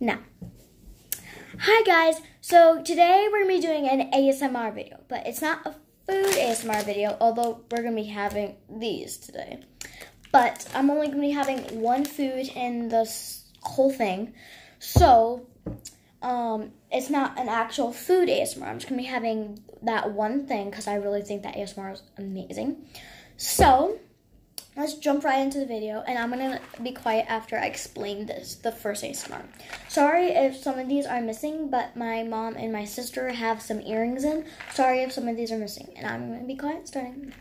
Now, hi guys. So today we're gonna be doing an ASMR video, but it's not a food ASMR video, although we're gonna be having these today. But I'm only gonna be having one food in this whole thing, so um, it's not an actual food ASMR. I'm just gonna be having that one thing because I really think that ASMR is amazing. So let's jump right into the video and I'm gonna be quiet after I explain this, the first smart. Sorry if some of these are missing, but my mom and my sister have some earrings in. Sorry if some of these are missing and I'm gonna be quiet starting.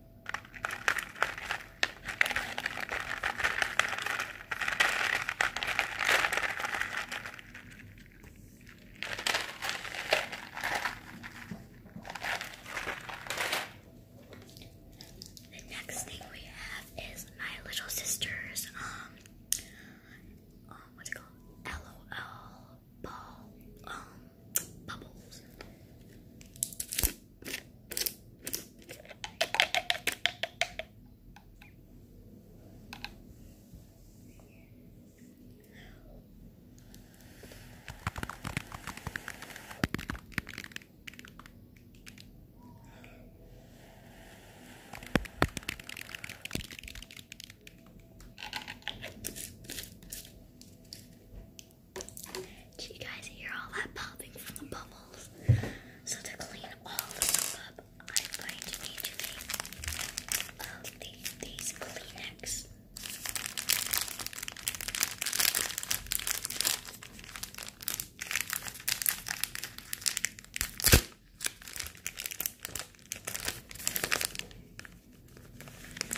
The next thing we have is my little sister's um, uh, what's it called? LOL ball um bubbles. Did you guys hear all that popping from the bubbles? So to clean all the up, I'm going to be doing uh, these Kleenex.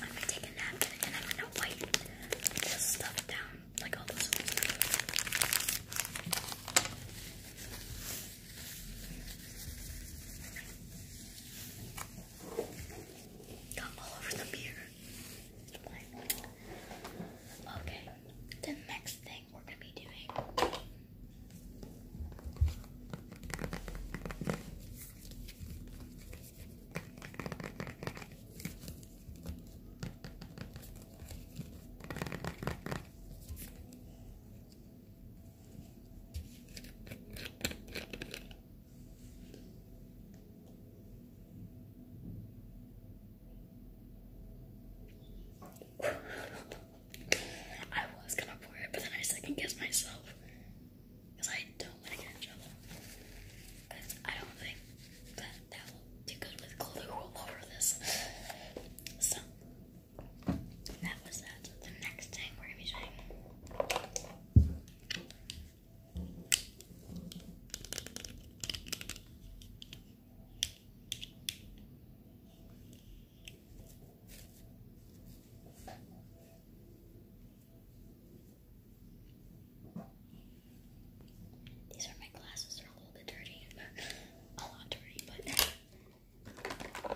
I'm gonna take a nap and I'm gonna wait. this stuff down, like all this Got all over the mirror. Okay, the next thing we're gonna be doing. I was gonna pour it, but then I second guessed myself. Because I don't want to get Because I don't think that that will do good with glue all over this. So, that was that. The next thing we're going to be doing. These are my glasses. They're a little bit dirty, a lot dirty, but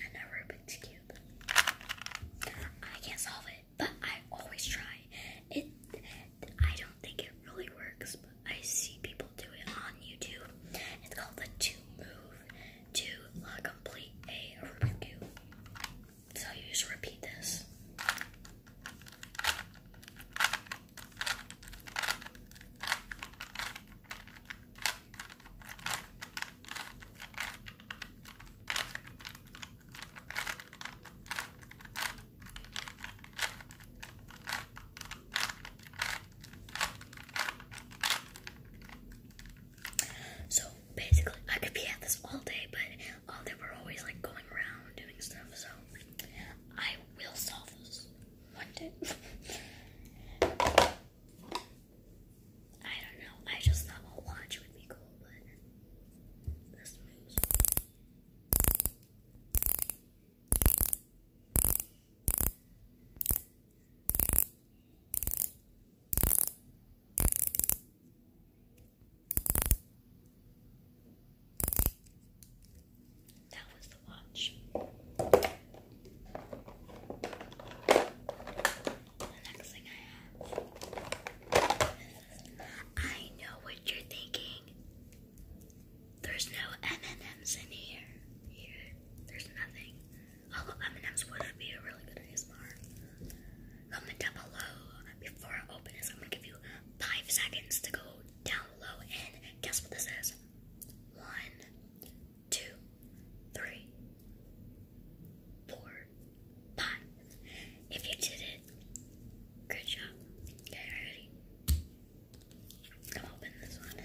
I'm not Rubik's cube. I can't solve it, but I always try. It. I don't think it really works, but I see people do it on YouTube. It's called the two move to complete a Rubik's Cube. So you just repeat this. So basically, I could be at this all day, but uh, they were always like going around doing stuff. So I will solve this one day. I don't know. I just thought a watch would be cool, but that was the watch. The next thing I have I know what you're thinking. There's no M&Ms in here. Here, there's nothing. Although M&M's would be a really good ASMR. Comment down below. Before I open this, I'm gonna give you five seconds to go down below and guess what this is. One, two, three, four, five. If you did it, good job. Okay, ready? i open this one.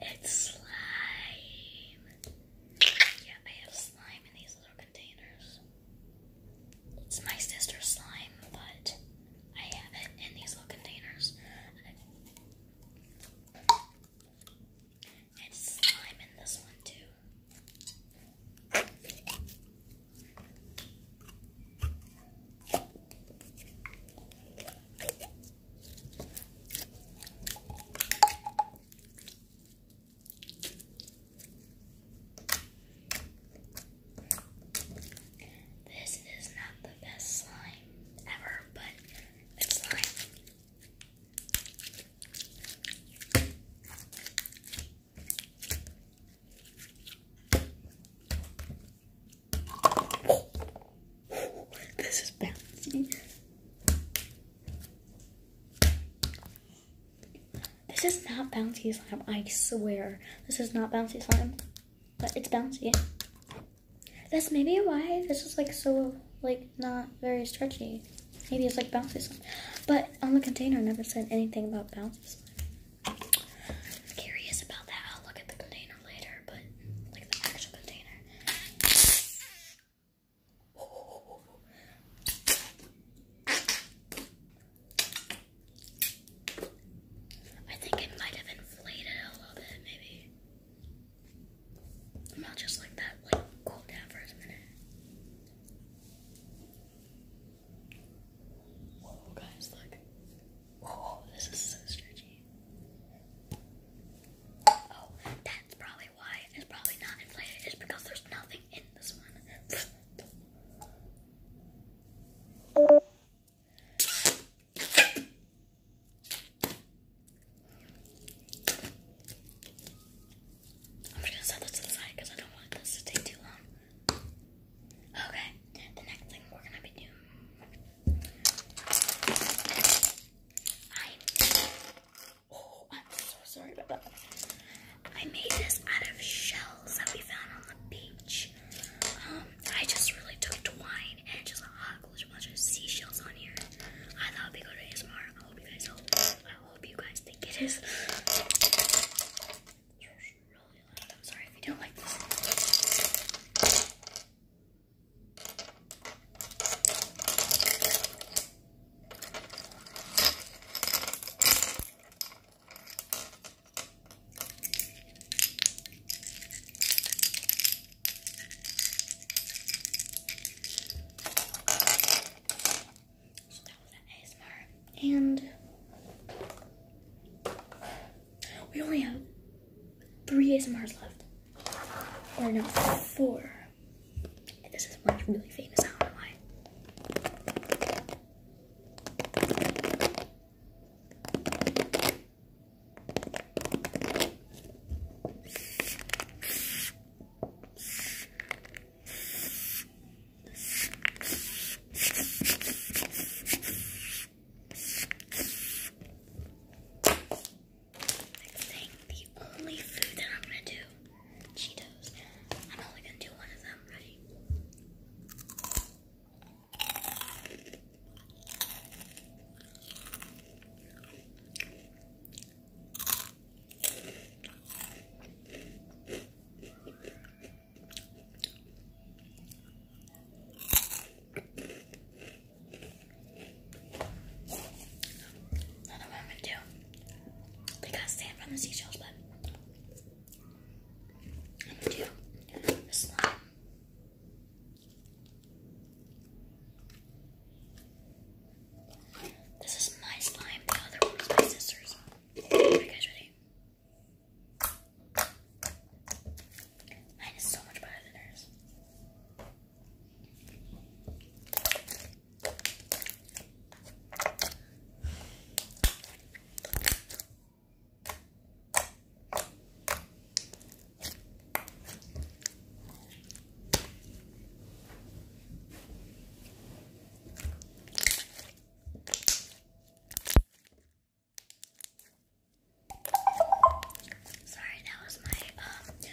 It's slime. Yeah, I have slime in these little containers. It's my sister's slime, but I have it in these little containers. It's slime in this one, too. This is not the best slime ever, but it's slime. This is bouncing. This is not bouncy slime, I swear. This is not bouncy slime, but it's bouncy. That's maybe why this is like so, like not very stretchy. Maybe it's like bouncy slime. But on the container, never said anything about bouncy slime. I think it might have inflated a little bit, maybe. And I'll just let that like cool down for a minute. Whoa, guys, look. Whoa, this is so stretchy. Oh, that's probably why it's probably not inflated, is because there's nothing in this one. I'm just gonna set this to the side because I don't want this to take too long. Okay, the next thing we're gonna be doing. Oh, I'm so sorry about that. I made this out of shells that we found on the beach. Um, I just really took twine and just hot glued a bunch of seashells on here. I thought it'd to ASMR. I hope you guys hope you guys think it is. It's really loud. I'm sorry if you don't like this. So that was an ASMR. And we only have three ASMRs left. Or no, four this is one really famous hour of mine. Next thing, the only food that I'm gonna do, Cheetos. I'm only gonna do one of them, right? Another woman too. They got sand from the seashells, but I'm gonna do the slime. This is my slime, the other one my sister's. Are you guys ready? Mine is so much better than hers. Sorry, that was my um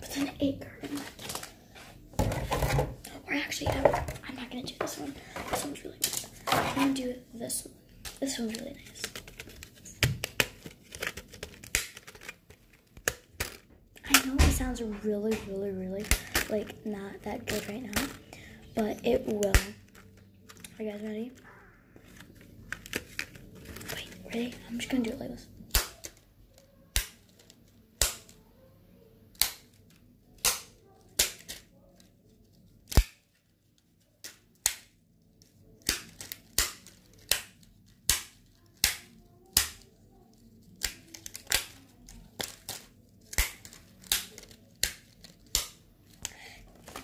But then eight card left. actually, I'm not gonna do this one. This one's really good. I'm gonna do this one. This one's really nice. I know it sounds really, really, really like not that good right now, but it will. Are you guys ready? Wait, ready? I'm just gonna do it like this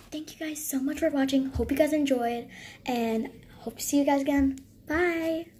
thank you guys so much for watching. Hope you guys enjoyed and hope to see you guys again. Bye!